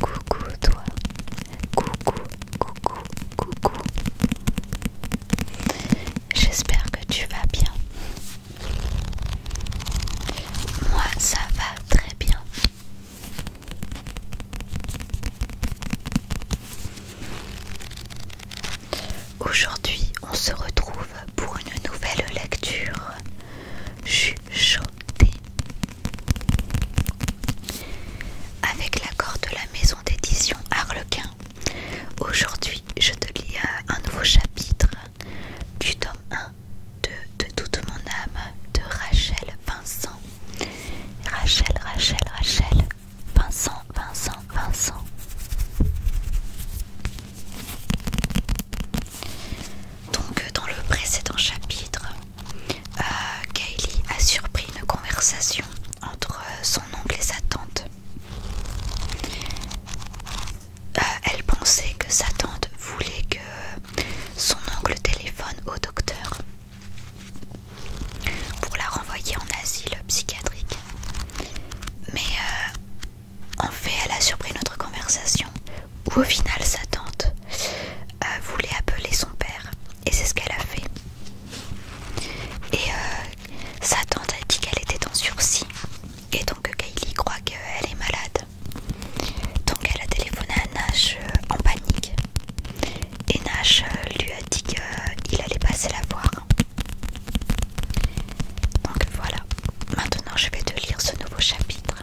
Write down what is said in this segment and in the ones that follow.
Coucou toi, coucou, coucou, coucou. J'espère que tu vas bien. Moi, ça va très bien. Aujourd'hui, on se retrouve pour une nouvelle lecture chanté. Avec l'accord de la maison d'édition Harlequin, aujourd'hui je te lis euh, un nouveau chapitre du tome 1 de, de toute mon âme de Rachel Vincent. Rachel, Rachel, Rachel, Vincent, Vincent, Vincent. Donc, euh, dans le précédent chapitre, euh, Kaylee a surpris une conversation entre euh, son oncle et sa tante. elle pensait que sa tante voulait que son oncle téléphone au docteur pour la renvoyer en asile psychiatrique. Mais en fait, elle a surpris notre conversation où au final sa tante euh, voulait appeler son père et c'est ce qu'elle a fait. Et euh, sa tante a dit qu'elle était en sursis et donc Kylie croit qu'elle est malade. Donc elle a téléphoné à Nash euh, en panique et Nash lui a dit qu'il allait passer la voir. Donc voilà, maintenant je vais te lire ce nouveau chapitre.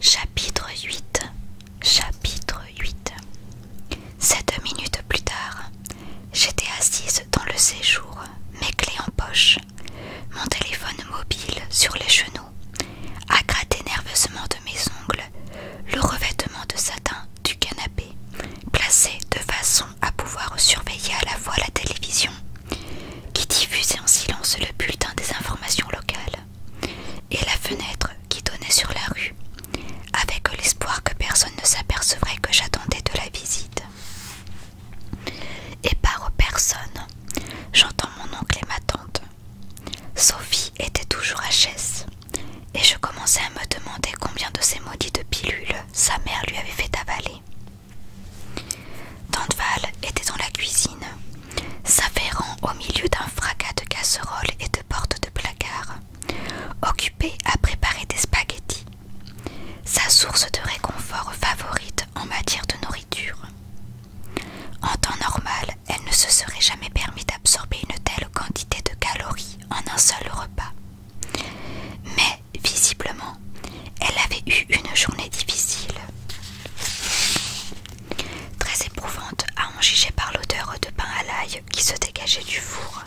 Chapitre 8 Chapitre 8 Sept minutes plus tard, j'étais assise dans le séjour, mes clés en poche, mon téléphone mobile sur les genoux, à gratter nerveusement de mes ongles le revêtement de satin du canapé, placé de façon à pouvoir surveiller à la fois la télévision qui diffusait en silence le bulletin des informations locales, et la fenêtre qui donnait sur la rue, avec l'espoir que personne ne s'apercevrait que j'attendais de la visite. Et par personne, j'entends mon oncle et ma tante. Sophie était toujours à chaise et je commençais à me demander combien de ces maudites pilules sa mère lui avait fait avaler. Danteval était dans la cuisine, s'affairant au milieu d'un fracas de casseroles et de portes de placard, occupée à préparer des spaghettis, sa source de réconfort favorite en matière de nourriture. En temps normal, elle ne se serait jamais permis d'absorber une telle quantité de calories en un seul repas. Mais visiblement, elle avait eu une journée difficile, très éprouvante à en juger par l'odeur de pain à l'ail qui se dégageait du four.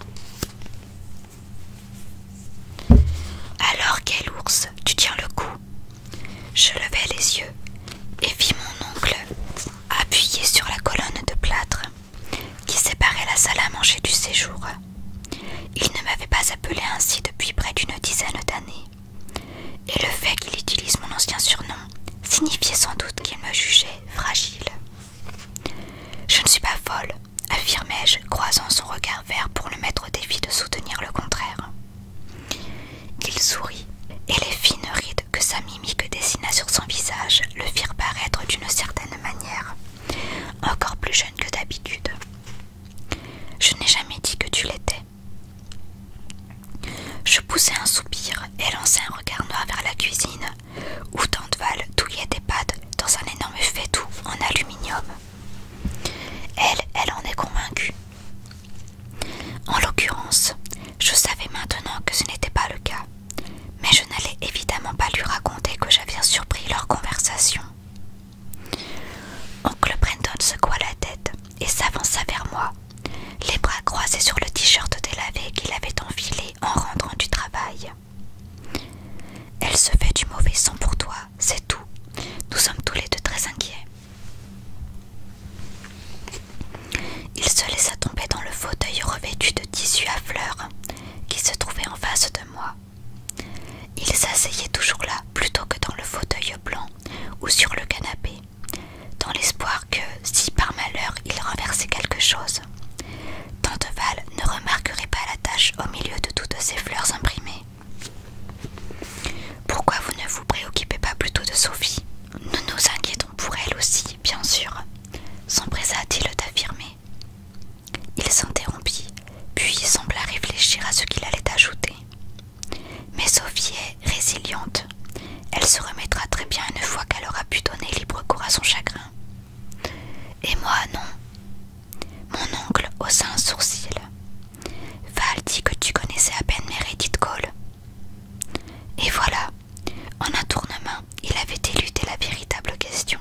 Alors, quel ours, tu tiens le coup Je levai les yeux et vis mon oncle appuyé sur la colonne de plâtre qui séparait la salle à manger du séjour. Il ne m'avait pas appelé ainsi depuis près d'une dizaine d'années, et le fait qu'il utilise mon ancien surnom signifiait sans doute qu'il me jugeait fragile. Je ne suis pas folle, affirmai-je, croisant son regard vert pour le mettre au défi de soutenir le contraire. Il sourit, et les fines rides que sa mimique dessina sur son visage le firent paraître d'une certaine manière, encore plus jeune que d'habitude. Je n'ai jamais dit que tu l'étais. Je poussai un soupir et lançai un regard noir vers la cuisine, où Tanteval touillait des pâtes dans un énorme faitout en aluminium. Elle, elle en est convaincue. En l'occurrence, je savais maintenant que ce n'était pas le cas, mais je n'allais évidemment pas lui raconter que j'avais surpris leur conversation. Oncle Brenton secoua la tête et s'avança vers moi, les bras croisés sur le t-shirt délavé qu'il avait enfilé en rentrant du travail. Elle se fait du mauvais sang pour toi, c'est tout. Nous sommes tous les deux très inquiets. Il se laissa tomber dans le fauteuil revêtu de tissu à fleurs qui se trouvait en face de moi. Il s'asseyait toujours là, plutôt que dans le fauteuil blanc ou sur le canapé, dans l'espoir que, si par malheur il renversait quelque chose, Tanteval ne remarquerait pas la tâche au milieu de toutes ces fleurs imprimées. Pourquoi vous ne vous préoccupez pas plutôt de Sophie Nous nous inquiétons pour elle aussi, bien sûr, s'empressa-t-il d'affirmer. Il s'interrompit, puis sembla réfléchir à ce qu'il allait ajouter. Mais Sophie est résiliente. Elle se remettra très bien une fois qu'elle aura pu donner libre cours à son chagrin. Et moi, non. Mon oncle haussa un sourcil. Val dit que tu connaissais à peine Meredith Cole. Et voilà, en un tournement, il avait éludé la véritable question,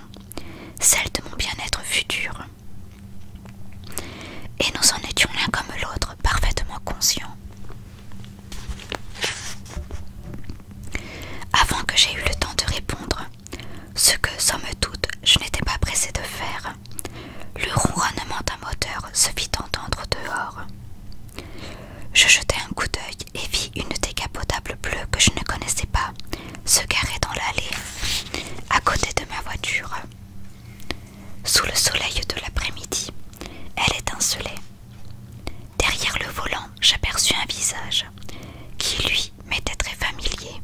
celle de mon bien-être futur. Et nous en étions l'un comme l'autre parfaitement conscients. Avant que j'aie eu le temps de répondre, ce que, sans me toute, je n'étais pas pressé de faire, le ronronnement d'un moteur se fit entendre dehors. Je jetai un coup d'œil et vis une décapotable bleue que je ne connaissais pas, se garer dans l'allée, à côté de ma voiture. Sous le soleil de l'après-midi, elle étincelait. Derrière le volant, j'aperçus un visage qui, lui, m'était très familier,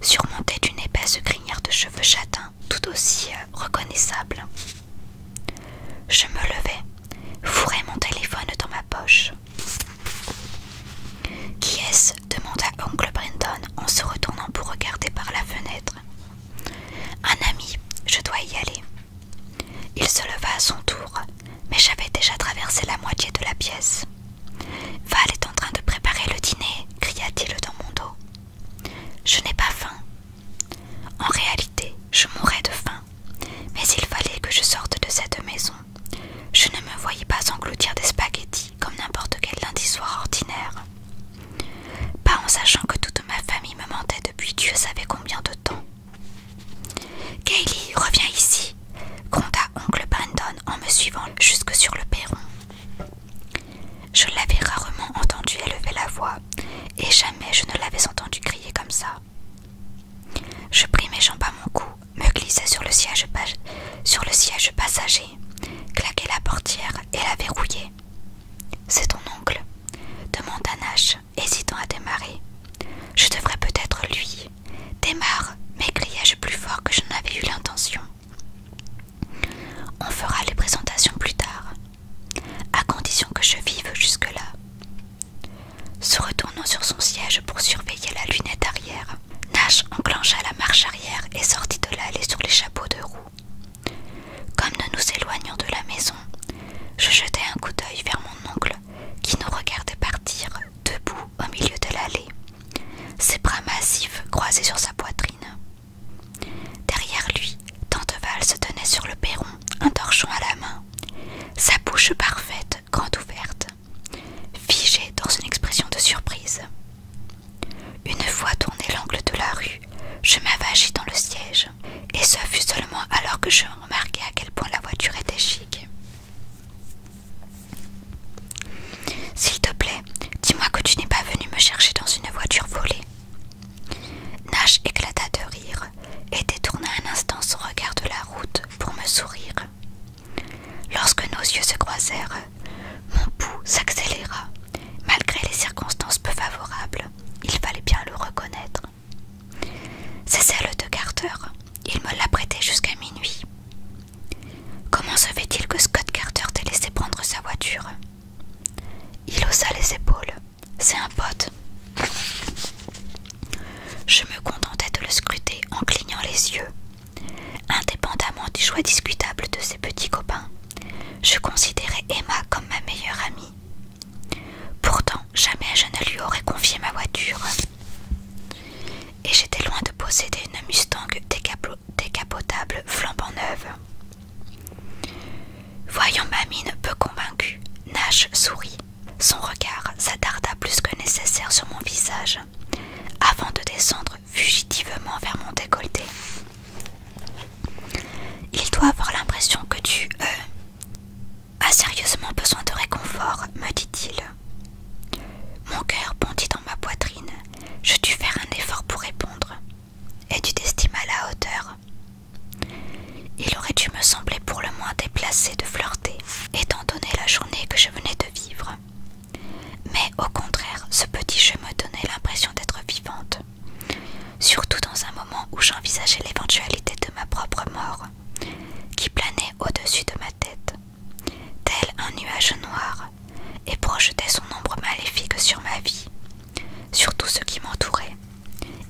surmonté d'une épaisse crinière de cheveux châtains, tout aussi euh, reconnaissable. Je me levai, fourrai mon téléphone dans ma poche. Qui est-ce demanda oncle Brenton en se retournant pour regarder par la fenêtre. Un ami, je dois y aller. Il se leva à son tour, mais j'avais déjà traversé la moitié de la pièce. Val est en train de préparer le dîner, cria-t-il dans mon dos. Je n'ai pas faim. En réalité, je mourais de faim, mais il fallait que je sorte de cette maison. Je ne me voyais pas engloutir des spaghettis comme n'importe quel lundi soir ordinaire. Pas en sachant que toute ma famille me mentait depuis Dieu savait combien de temps. Kaylee, reviens ici, gronda oncle Brandon en me suivant jusque sur le perron. Je l'avais rarement entendu élever la voix, et jamais je ne l'avais entendu crier comme ça. Je pris mes jambes à mon cou me glissait sur le siège, passager, claquait la portière et la verrouillait. « C'est ton oncle demanda Nash, hésitant à démarrer. Je devrais peut-être lui. Démarre m'écriai-je plus fort que je n'avais eu l'intention. On fera les présentations plus tard, à condition que je vive jusque-là. Se retournant sur son siège pour surveiller la lunette arrière, Nash enclencha la marche arrière et sortit de l'allée sur les chapeaux de roue. Comme nous nous éloignions de la maison, je jetai un coup d'œil vers mon oncle qui nous regardait partir debout au milieu de l'allée, ses bras massifs croisés sur sa poitrine. Derrière lui, Val se tenait sur le perron, un torchon à la main. Sa bouche parfaite ouverte, figée dans une expression de surprise. Une fois tourné l'angle de la rue, je m'avagis dans le siège, et ce fut seulement alors que je remarquai à quel point la voiture était chic. S'il te plaît, dis-moi que tu n'es pas venu me chercher dans une voiture volée. Nash éclata de rire et détourna un instant son regard de la route pour me sourire. Lorsque nos yeux se croisèrent, mon pouls s'accéléra. Malgré les circonstances peu favorables, il fallait bien le reconnaître. C'est celle de Carter. Il me l'a jusqu'à minuit. Comment se fait-il que Scott Carter t'ait laissé prendre sa voiture Il haussa les épaules. C'est un pote. Je me contentais de le scruter en clignant les yeux. Indépendamment du choix discutable de ses petits copains, je considérais Emma comme ma meilleure amie. Pourtant, jamais je ne lui aurais confié ma voiture. Et j'étais loin de posséder une Mustang décapotable flambant neuve. Voyant ma mine peu convaincue, Nash sourit son regard s'attarda plus que nécessaire sur mon visage, avant de descendre fugitivement vers mon décolleté. Il doit avoir l'impression que tu euh, as sérieusement besoin de réconfort, me dit-il. Mon cœur bondit dans ma poitrine. Je dus faire un effort pour répondre. Et tu t'estimes à la hauteur. Il aurait dû me sembler pour le moins déplacé de flirter, étant donné la journée que je venais de mais au contraire, ce petit jeu me donnait l'impression d'être vivante, surtout dans un moment où j'envisageais l'éventualité de ma propre mort, qui planait au-dessus de ma tête, tel un nuage noir, et projetait son ombre maléfique sur ma vie, sur tout ce qui m'entourait,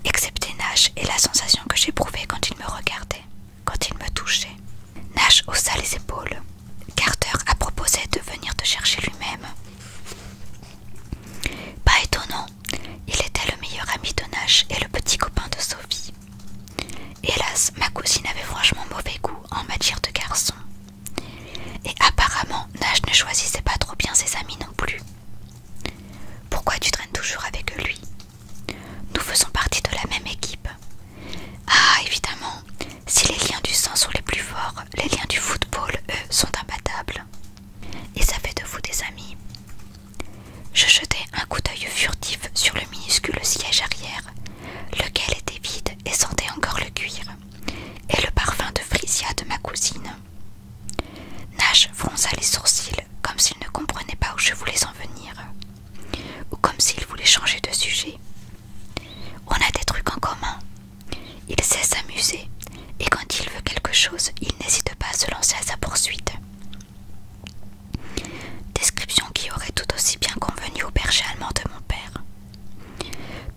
excepté Nash et la sensation que j'éprouvais quand il me regardait quand il me touchait. Nash haussa les épaules. Carter a proposé de venir te chercher lui-même. Pas étonnant, il était le meilleur ami de Nash et le petit copain de Sophie. Hélas, ma cousine avait franchement mauvais goût en matière de garçon Et apparemment, Nash ne choisissait pas trop bien ses amis non plus. Pourquoi tu traînes toujours avec lui nous faisons partie de la même équipe. Ah, évidemment, si les liens du sang sont les plus forts, les liens du football, eux, sont imbattables. Et ça fait de vous des amis. Je jetai un coup d'œil furtif sur le minuscule siège arrière, lequel était vide et sentait encore le cuir, et le parfum de frisia de ma cousine. Nash fronça les sourcils comme s'il ne comprenait pas où je voulais en venir ou comme s'il voulait changer de sujet. On a des trucs en commun. Il sait s'amuser et quand il veut quelque chose, il n'hésite pas à se lancer à sa poursuite. Description qui aurait tout aussi bien convenu au berger allemand de mon père.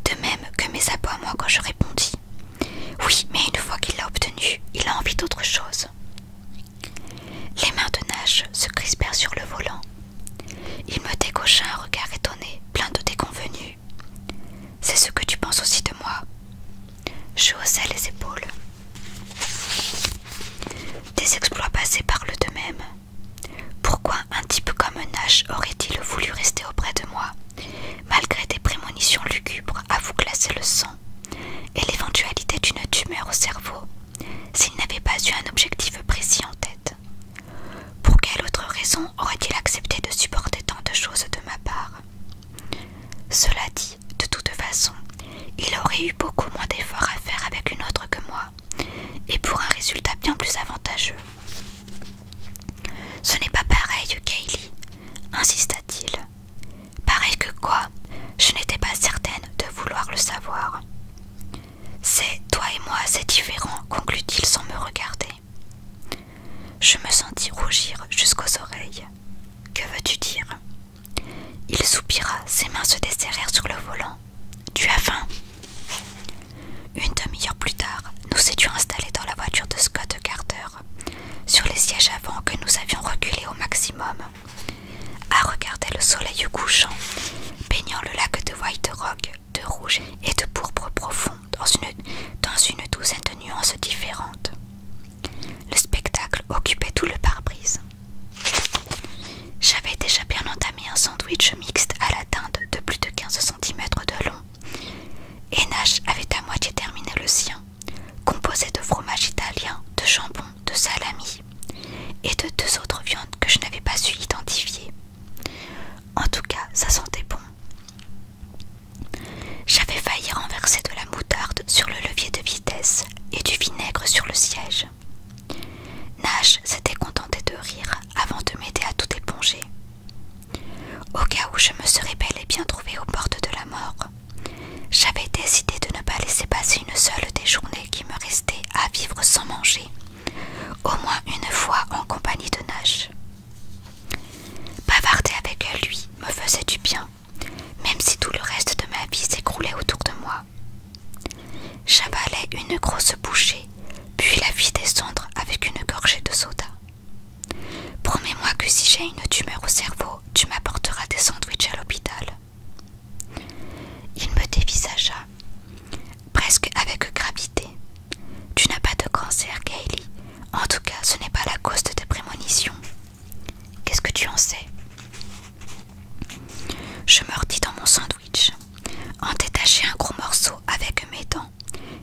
De même que mes abois moi quand je répondis. Oui, mais une fois qu'il l'a obtenu, il a envie d'autre chose. Les mains de Nash se crispèrent sur le volant. Il me décocha un regard étonné, plein de déconvenue. C'est ce que tu penses aussi de moi Je haussai les épaules. Des exploits passés parlent de même Pourquoi un type comme Nash aurait-il voulu rester auprès de moi, malgré des prémonitions lugubres à vous classer le sang et l'éventualité d'une tumeur au cerveau s'il n'avait pas eu un objectif précis en tête. Pour quelle autre raison aurait-il accepté de supporter tant de choses de ma part Cela dit, de toute façon, il aurait eu beaucoup moins d'efforts à faire avec une autre que moi, et pour un résultat bien plus avantageux. Ce n'est pas pareil, Kaylee, insista-t-il. Pareil que quoi Je n'étais pas certaine de vouloir le savoir. C'est toi et moi, c'est différent, conclut-il sans me regarder. Je me sentis rougir jusqu'aux oreilles. Que veux-tu dire Il soupira, ses mains se desserrèrent sur le volant. Tu as faim Une demi-heure plus tard, nous étions installés dans la voiture de Scott Carter, sur les sièges avant que nous avions reculé au maximum à regarder le soleil couchant, baignant le lac de White Rock de rouge et de pourpre profond dans une, dans une douzaine de nuances différentes. Le spectacle occupait tout le pare-brise. J'avais déjà bien entamé un sandwich mixte à la teinte de plus de 15 cm de long, et Nash avait à moitié terminé le sien, composé de fromage italien, de jambon de salami et de deux autres viandes que je n'avais pas su identifier. En tout cas, ça sentait bon. J'avais failli renverser de la moutarde sur le levier de vitesse et du vinaigre sur le siège. Nash s'était contenté de rire avant de m'aider à tout éponger. Au cas où je me serais bel et bien Trouvé aux portes de la mort, j'avais décidé de ne pas laisser passer une seule des journées qui me restaient à vivre sans manger, au moins une fois en compagnie de Nash. Bavarder avec lui me faisait du bien, même si tout le reste de ma vie s'écroulait autour de moi. J'avalais une grosse bouchée, puis la vie descendre avec une gorgée de soda. Promets-moi que si j'ai une tumeur au cerveau, tu m'apporteras des sandwichs à l'hôpital. Il me dévisagea, presque avec gravité. Tu n'as pas de cancer, Gaëlie. En tout cas, ce n'est pas la cause de tes prémonitions. Qu'est-ce que tu en sais Je mordis dans mon sandwich, en détachai un gros morceau avec mes dents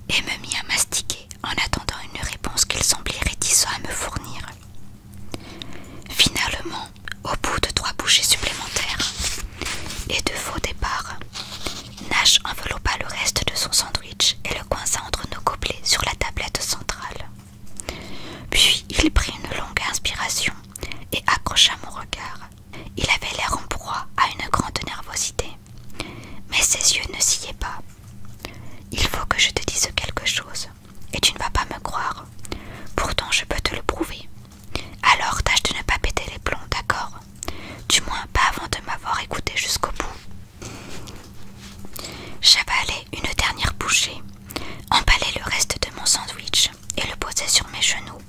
et me mis à mastiquer en attendant une réponse qu'il semblait réticent à me fournir. Finalement, au bout de trois bouchées supplémentaires et de faux départs, Nash enveloppa le reste de son sandwich et le coinça entre nos gobelets sur la tablette centrale. Puis il prit une longue inspiration et accrocha mon regard. Il avait l'air en proie à une grande nervosité, mais ses yeux ne sciaient pas. Il faut que je te dise quelque chose et tu ne vas pas me croire. Pourtant, je peux te le prouver. Alors, tâche de ne pas péter les plombs, d'accord Du moins, pas avant de m'avoir écouté jusqu'au bout. J'avalais une dernière bouchée, emballais le reste de mon sandwich et le posé sur mes genoux.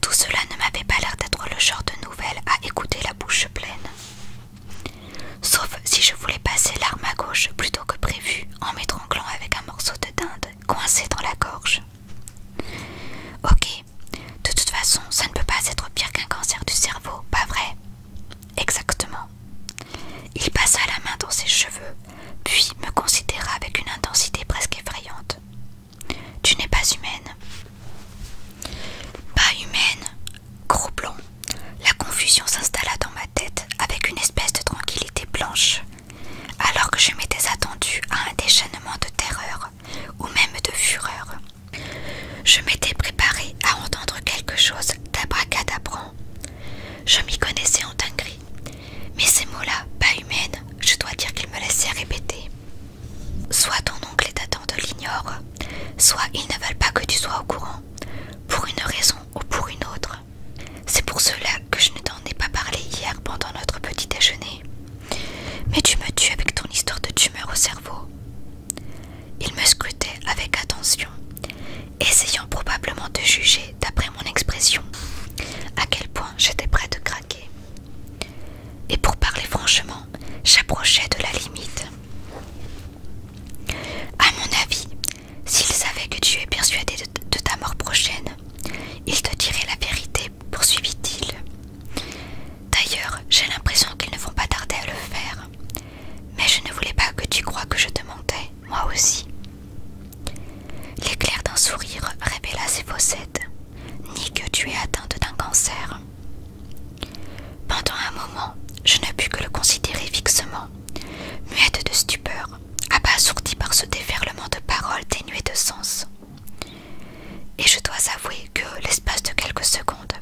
Tout cela ne m'avait pas l'air d'être le genre de nouvelle à écouter la bouche pleine. Sauf si je voulais passer l'arme à gauche plutôt que prévu en m'étrouvant avec un morceau de dinde coincé dans la gorge. Ok, de toute façon, ça ne peut pas être pire qu'un cancer du cerveau, pas vrai Exactement. Il passa la main dans ses cheveux, puis me considéra avec une intensité presque effrayante. Tu n'es pas humaine. Pas humaine Gros blanc. La confusion s'installa dans ma tête avec une espèce de tranquillité blanche, alors que je m'étais attendue à un déchaînement de terreur ou même de fureur. Je m'étais préparé à entendre quelque chose d'abracadabrant. Je m'y connaissais en dinguerie, mais ces mots-là, pas humaines, je dois dire qu'ils me laissaient répéter. Soit ton oncle et ta tante l'ignorent, soit ils ne veulent pas que tu sois au courant, pour une raison ou pour une autre. C'est pour cela que je ne t'en ai pas parlé hier pendant notre petit déjeuner. Mais tu me tues avec ton histoire de tumeur au cerveau. Il me scrutait avec attention, essayant probablement de juger, d'après mon expression, à quel point j'étais prêt de craquer. Et pour parler franchement, j'approchais de la limite. À mon avis, S'ils savaient que tu es persuadé de, ta mort prochaine, ils te diraient la vérité, poursuivit-il. D'ailleurs, j'ai l'impression qu'ils ne vont pas tarder à le faire. Mais je ne voulais pas que tu crois que je te mentais, moi aussi. L'éclair d'un sourire révéla ses faussettes, ni que tu es atteinte d'un cancer. Pendant un moment, je ne pus que le considérer fixement muette de stupeur, abasourdie par ce déferlement de paroles dénuées de sens. Et je dois avouer que, l'espace de quelques secondes,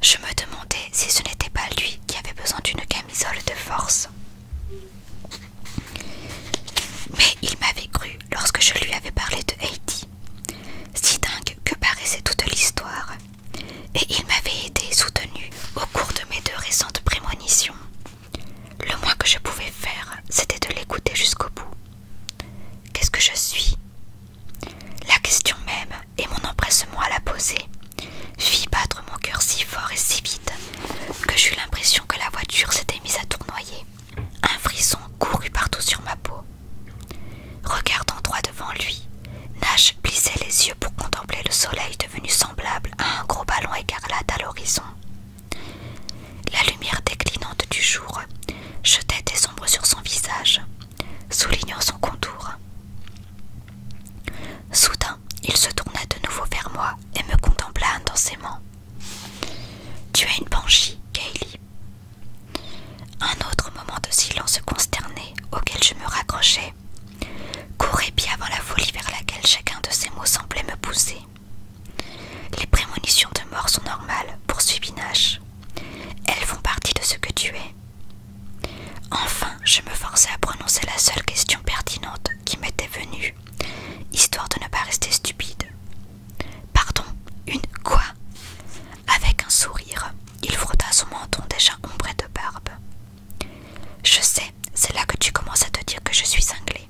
je me demandais si ce n'était pas lui qui avait besoin d'une camisole de force. Mais il m'avait cru lorsque je lui avais parlé de Heidi. Si dingue que paraissait toute l'histoire, et il m'avait été soutenu au cours de mes deux récentes prémonitions. Le moins que je pouvais faire, c'était de l'écouter jusqu'au bout. Qu'est-ce que je suis La question même et mon empressement à la poser fit battre mon cœur si fort et si vite que j'eus l'impression que la voiture s'était mise à tournoyer. Un frisson courut partout sur ma peau. Regardant droit devant lui, Nash plissait les yeux pour contempler le soleil devenu semblable à un gros ballon écarlate à l'horizon. La lumière déclinante du jour jetait des ombres sur son visage, soulignant son contour. Soudain, il se tourna de nouveau vers moi et me contempla intensément. Tu es une banshee, Kaylee. Un autre moment de silence consterné auquel je me raccrochais. Courais bien avant la folie vers laquelle chacun de ces mots semblait me pousser. Les prémonitions de mort sont normales, poursuivit Nash. Elles font partie de ce que tu es. Enfin, je me forçais à prononcer la seule question pertinente qui m'était venue, histoire de ne pas rester stupide. Pardon, une quoi Avec un sourire, il frotta son menton déjà ombré de barbe. Je sais, c'est là que tu commences à te dire que je suis cinglée.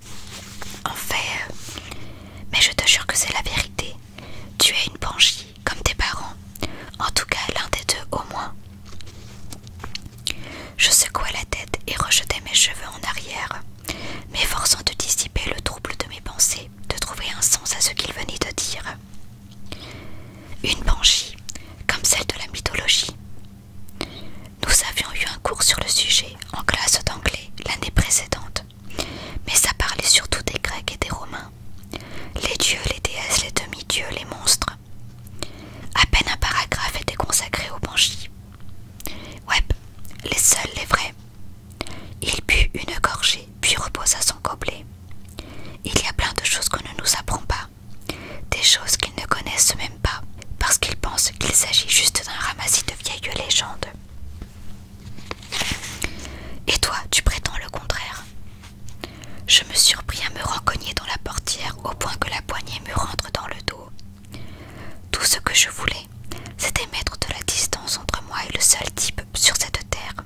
En fait, euh, mais je te jure que c'est la vérité. Tu es une panchie, comme tes parents. En tout cas, l'un des deux au moins. Je secouai la tête et rejetai mes cheveux en arrière, m'efforçant de dissiper le trouble de mes pensées, de trouver un sens à ce qu'il venait de dire. Une banshee, comme celle de la mythologie. Nous avions eu un cours sur le sujet en classe d'anglais l'année précédente, mais ça parlait surtout des Grecs et des Romains, les dieux, les déesses, les demi-dieux, les monstres. À peine un paragraphe était consacré aux banshees. Web, les seuls, les vrais. Il but une gorgée, puis reposa son gobelet. Il y a plein de choses qu'on ne nous apprend pas. Des choses qu'ils ne connaissent même pas, parce qu'ils pensent qu'il s'agit juste d'un ramassis de vieilles légendes. Et toi, tu prétends le contraire Je me surpris à me rencogner dans la portière au point que la poignée me rentre dans le dos. Tout ce que je voulais, c'était mettre de la distance entre moi et le seul type sur cette terre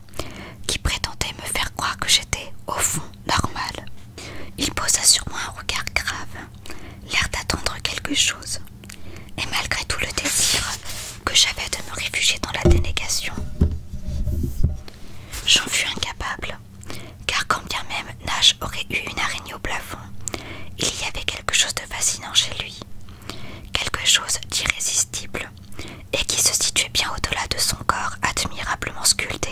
qui prétendait me faire croire que j'étais, au fond, normal. Il posa sur moi un regard grave, l'air d'attendre quelque chose. Et malgré tout le désir que j'avais de me réfugier dans la dénégation, j'en fus incapable, car quand bien même Nash aurait eu une araignée au plafond, il y avait quelque chose de fascinant chez lui, quelque chose d'irrésistible et qui se situait bien au-delà de son corps admirablement sculpté,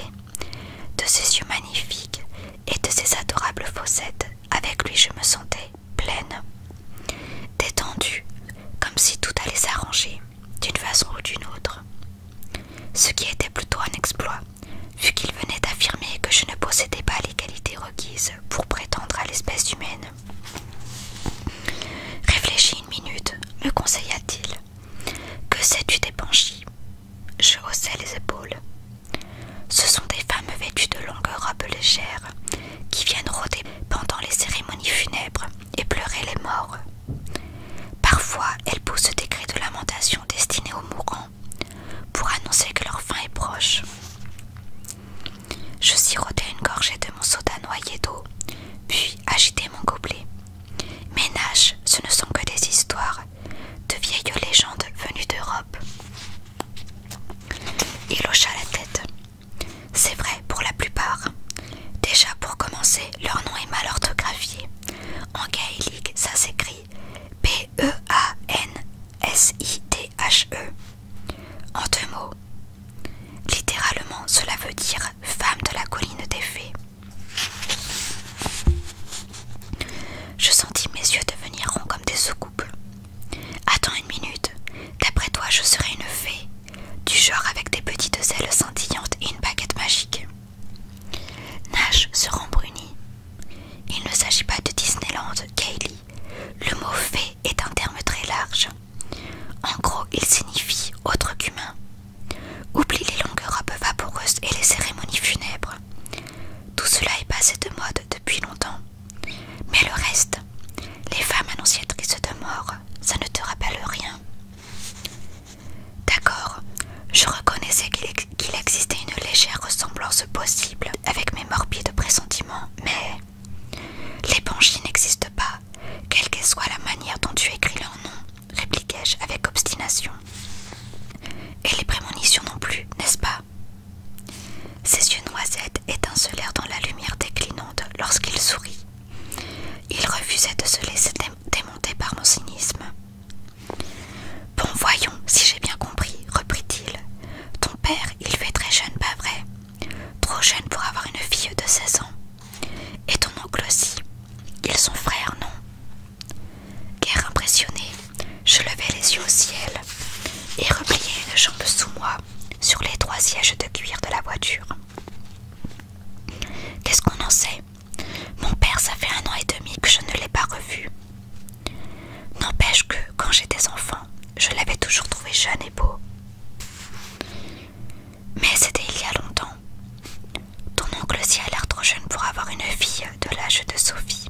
de ses yeux magnifiques et de ses adorables fossettes. Avec lui, je me sentais pleine, détendue, comme si tout allait s'arranger d'une façon ou d'une autre. Ce qui était plutôt un exploit, vu qu'il venait d'affirmer que je ne possédais pas les qualités requises pour prétendre à l'espèce humaine. Réfléchis une minute, me conseilla-t-il. Que sais-tu des banchis ?» Je haussais les épaules. Ce sont des femmes vêtues de longues robes légères qui viennent rôder pendant les cérémonies funèbres et pleurer les morts. Parfois, elles poussent des cris de lamentation destinés aux mourants pour annoncer que leur fin est proche. Je sirotais une gorgée de mon soda noyé d'eau, puis agitai mon gobelet, « Ménage, ce ne sont que des histoires, de vieilles légendes venues d'Europe. Il hocha la tête. C'est vrai pour la plupart. Déjà pour commencer, leur nom est mal orthographié. En gaélique, ça s'écrit p e a n s i t h -E. En deux mots. Littéralement, cela veut dire femme de la colline des fées. Je sentis mes yeux devenir ronds comme des soucoupes. Attends une minute, d'après toi je serai une fée, du genre avec des petites ailes scintillantes et une baguette magique. Nash se rembrunit. Il ne s'agit pas de Disneyland, Kaylee. Le mot fée est un terme très large. En gros, il signifie autre qu'humain, Oublie les longues robes vaporeuses et les cérémonies funèbres. Tout cela est passé de mode depuis longtemps. Mais le reste, les femmes annonciatrices de mort, ça ne te rappelle rien. D'accord, je reconnaissais qu'il existait une légère ressemblance possible avec mes morbides pressentiments, mais les l'épanchie n'existe pas, quelle que soit la manière dont tu écris leur nom répliquai-je avec obstination. Et les prémonitions non plus, n'est-ce pas Ses yeux noisettes étincelèrent dans la lumière déclinante lorsqu'il sourit. Il refusait de se laisser démonter par mon cynisme. Bon, voyons, si j'ai bien compris, reprit-il. Ton père, il fait très jeune, pas vrai Trop jeune pour avoir une fille de 16 ans. Et ton oncle aussi. Ils sont frères, non Guerre impressionnée, je levai les yeux au ciel et repliais une jambe sous moi sur les trois sièges de cuir de la voiture. Qu'est-ce qu'on en sait Mon père, ça fait un an et demi que je ne l'ai pas revu. N'empêche que, quand j'étais enfant, je l'avais toujours trouvé jeune et beau. Mais c'était il y a longtemps. Ton oncle aussi a l'air trop jeune pour avoir une fille de l'âge de Sophie.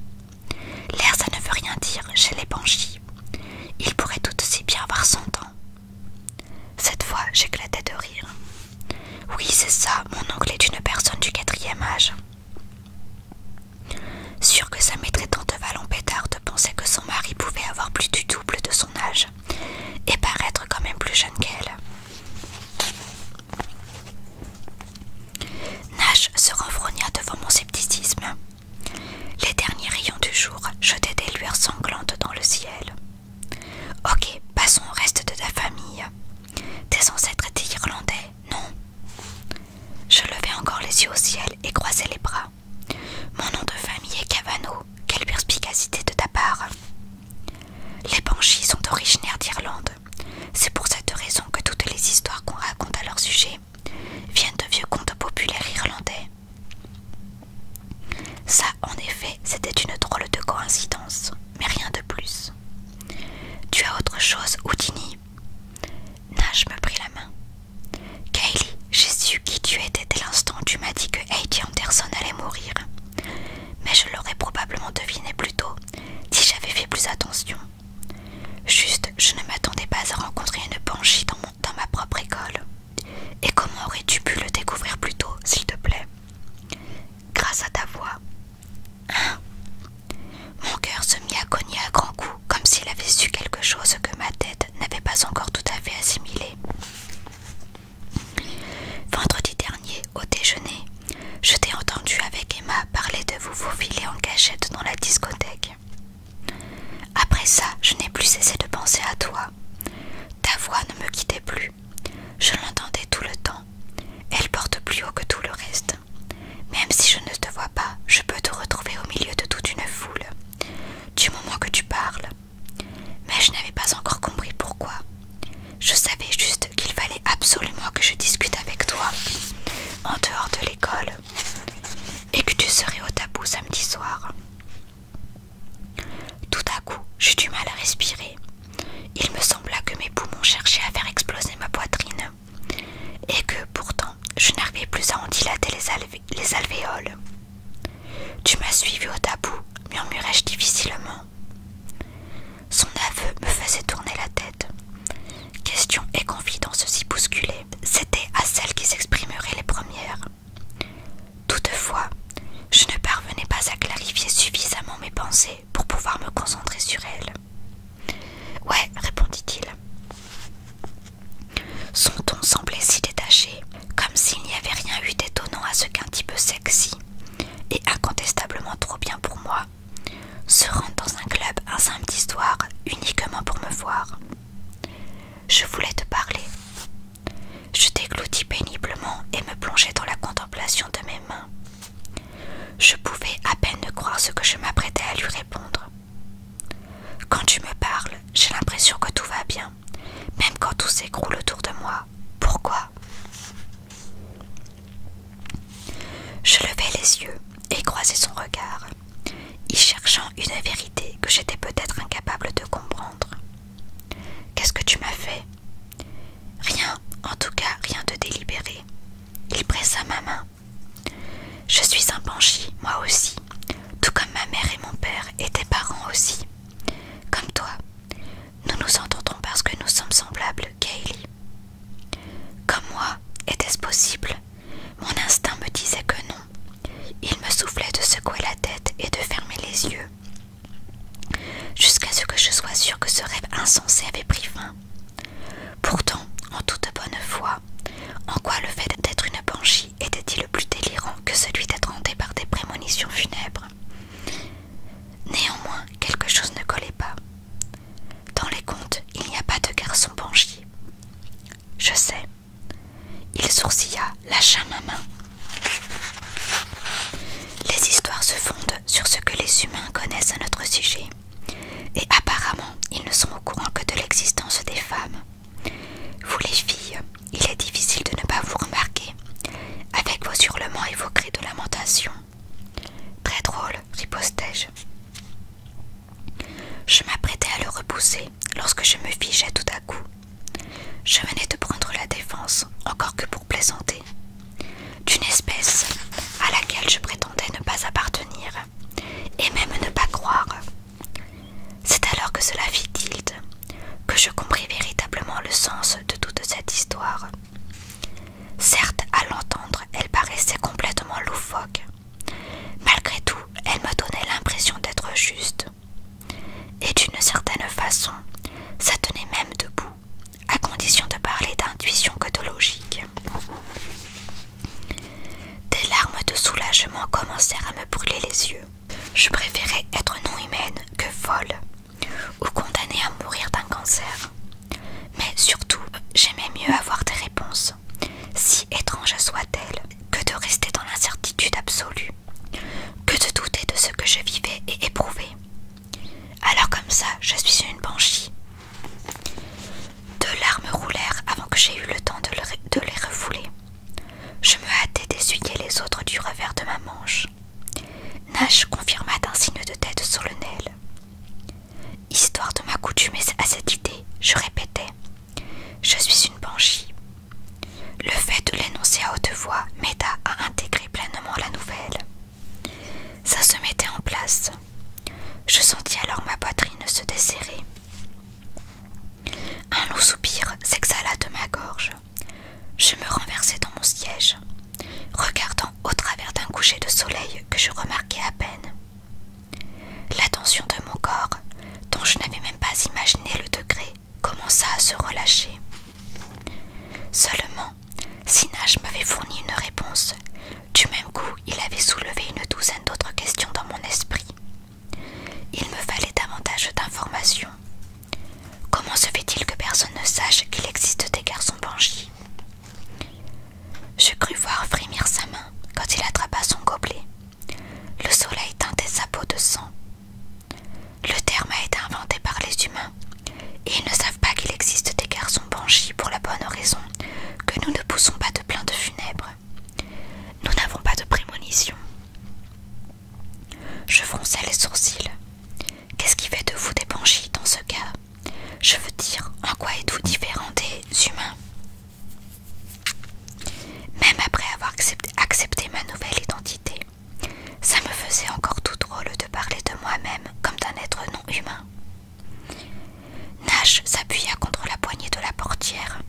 L'air, ça ne veut rien dire chez les banshees. Il pourrait tout aussi bien avoir cent ans. Cette fois, j'éclatais de rire. Oui, c'est ça, mon oncle est une personne du quatrième âge. Sûr que ça mettrait tant de pétard de que son mari pouvait avoir plus du double de son âge et paraître quand même plus jeune qu'elle. Nash se renfrogna devant mon scepticisme. Les derniers rayons du jour jetaient des lueurs sanglantes dans le ciel. Ok, passons au reste de ta famille. Tes ancêtres étaient irlandais, non Je levai encore les yeux au ciel et croisai les bras. Mon nom de famille est Cavano. Quelle perspicacité de ta part les banshees sont originaires d'Irlande. C'est pour cette raison que toutes les histoires qu'on raconte à leur sujet viennent de vieux contes populaires irlandais. Ça, en effet, c'était une drôle de coïncidence, mais rien de plus. Tu as autre chose, Houdini Nash me prit la main. Kaylee, j'ai su qui tu étais « C'était l'instant où tu m'as dit que Heidi Anderson allait mourir. Mais je l'aurais probablement deviné plus tôt si j'avais fait plus attention. Juste, je ne m'attendais pas à rencontrer une banshee dans, dans ma propre école. Et comment aurais-tu pu le découvrir plus tôt, s'il te plaît Grâce à ta voix. Hein? Mon cœur se mit à cogner à grands coups, comme s'il avait su quelque chose que ma tête n'avait pas encore tout à fait assimilé. Vendredi dernier, au déjeuner, je t'ai entendu avec Emma parler de vous vous filer en cachette dans la discothèque. Après ça, je n'ai plus cessé de penser à toi. Ta voix ne me quittait plus. Je l'entendais tout le temps. Elle porte plus haut que tout le reste. Même si je ne te vois pas, je peux te retrouver au milieu de toute une foule. Du moment que tu parles, mais je n'avais pas encore compris pourquoi. Je savais juste qu'il fallait absolument que je discute avec toi, en dehors de l'école, et que tu serais au tabou samedi soir. Tout à coup, j'ai du mal à respirer. Il me sembla que mes poumons cherchaient à faire exploser ma poitrine, et que pourtant je n'arrivais plus à en dilater les alvéoles. Tu m'as suivi au tabou, murmurai-je difficilement. Son aveu me faisait tourner la tête. Question et confidence si bousculaient. c'était à celles qui s'exprimeraient les premières. Toutefois, je ne parvenais pas à clarifier suffisamment mes pensées pour pouvoir me concentrer sur elles. « Ouais, répondit-il. Son ton semblait si détaché comme s'il n'y avait rien eu d'étonnant à ce qu'un type sexy et incontestablement trop bien pour moi se rende dans un club un simple histoire uniquement pour me voir. Je voulais te parler. Je dégloutis péniblement et me plongeais dans la contemplation de mes mains. Je pouvais à peine croire ce que je m'apprêtais à lui répondre. Quand tu me parles, j'ai l'impression que tout va bien même quand tout s'écroule autour de moi. Pourquoi Je levai les yeux et croisai son regard, y cherchant une vérité que j'étais peut-être incapable de comprendre. Qu'est-ce que tu m'as fait Rien, en tout cas rien de délibéré. Il pressa ma main. Je suis un banshee, moi aussi, tout comme ma mère et mon père et tes parents aussi. Comme toi, nous nous entendons parce que nous sommes semblables, Kaylee. Comme moi, était-ce possible Mon instinct me disait que non. Il me soufflait de secouer la tête et de fermer les yeux, jusqu'à ce que je sois sûre que ce rêve insensé avait pris fin. Pourtant, en toute bonne foi, en quoi le fait d'être une banshee était-il plus délirant que celui d'être hanté par des prémonitions funèbres. Néanmoins, quelque chose ne collait pas. Dans les contes, il n'y a pas de garçon banchier. Je sais. Il sourcilla, lâcha ma main. Les histoires se fondent sur ce que les humains connaissent à notre sujet. Et apparemment, ils ne sont au courant que de l'existence des femmes. Vous les filles, il est difficile de ne pas vous remarquer, avec vos hurlements et vos cris de lamentation. Très drôle, ripostai-je. Je m'apprêtais à le repousser lorsque je me figeais tout à coup. Je venais de prendre la défense, encore que pour plaisanter, d'une espèce à laquelle je prétendais ne pas appartenir, et même ne pas croire. C'est alors que cela fit tilt, que je compris véritablement le sens de toute cette histoire. Certes, à l'entendre, elle paraissait complètement loufoque. Malgré tout, elle me donnait l'impression d'être juste. Et d'une certaine façon, ça tenait même debout, à condition de parler d'intuition que de logique. Des larmes de soulagement commencèrent à me brûler les yeux. Je préférais être non humaine que folle ou condamnée à mourir d'un cancer. Mais surtout, j'aimais mieux avoir des réponses, si étranges soient-elles, que de rester dans l'incertitude absolue, que de douter de ce que je vivais et éprouvais. Alors comme ça, je suis sur une banshee. Deux larmes roulèrent avant que j'aie eu le temps de les refouler. Je me hâtai d'essuyer les autres du revers de ma manche. Nash confirma d'un signe de tête sur le solennel. Histoire de m'accoutumer à cette idée, je répétais Je suis une banshee. Le fait de l'énoncer à haute voix m'aida à intégrer pleinement la nouvelle. Ça se mettait en place. Je sentis alors ma poitrine se desserrer. Un long soupir s'exhala de ma gorge. Je me renversai dans mon siège, regardant au travers d'un coucher de soleil que je remarquais à peine. L'attention de mon corps, dont je n'avais même pas imaginé le degré, commença à se relâcher. Seulement, Sinage m'avait fourni une réponse. Du même coup, il avait soulevé une douzaine d'autres questions dans mon esprit. Il me fallait davantage d'informations. Comment se fait-il que personne ne sache qu'il existe des garçons banshee Je crus voir frémir sa main quand il attrapa son gobelet. Le soleil teintait sa peau de sang. Le terme a été inventé par les humains, et ils ne savent pas qu'il existe des garçons banshee pour la bonne raison que nous ne poussons pas de plaintes funèbres. Nous n'avons pas de prémonition. Je fronçais les sourcils. Qu'est-ce qui fait de vous des banshees dans ce cas Je veux dire, en quoi êtes-vous différent des humains Même après avoir accepté, accepté ma nouvelle identité, ça me faisait encore tout drôle de parler de moi-même comme d'un être non humain. Nash s'appuya contre la poignée de la portière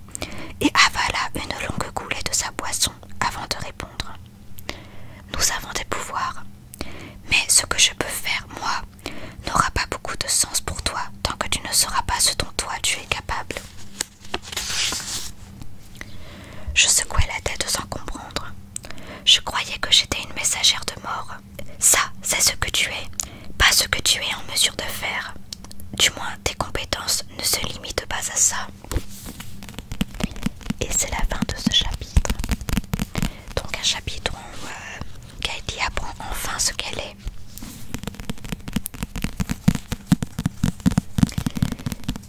et avala une longue goulée de sa boisson avant de répondre. Nous avons des pouvoirs, mais ce que je peux faire, moi, n'aura pas beaucoup de sens pour toi tant que tu ne seras pas ce dont toi tu es capable. Je secouais la tête sans comprendre. Je croyais que j'étais une messagère de mort. Ça, c'est ce que tu es, pas ce que tu es en mesure de faire, du moins, tes compétences ne se limitent pas à ça. Et c'est la fin de ce chapitre. Donc un chapitre où euh, Katie apprend enfin ce qu'elle est.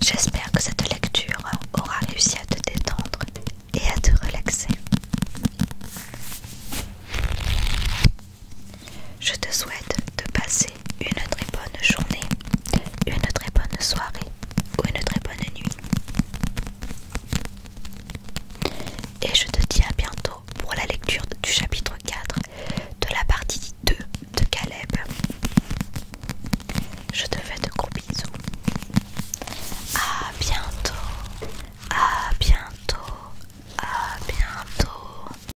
J'espère que cette lecture aura réussi à te détendre et à te relaxer. Je te souhaite de passer une très bonne journée, une très bonne soirée ou une très bonne nuit. Et je te dis à bientôt pour la lecture du chapitre 4 de la partie 2 de Caleb. Je te fais de gros bisous. A bientôt. À bientôt. À bientôt.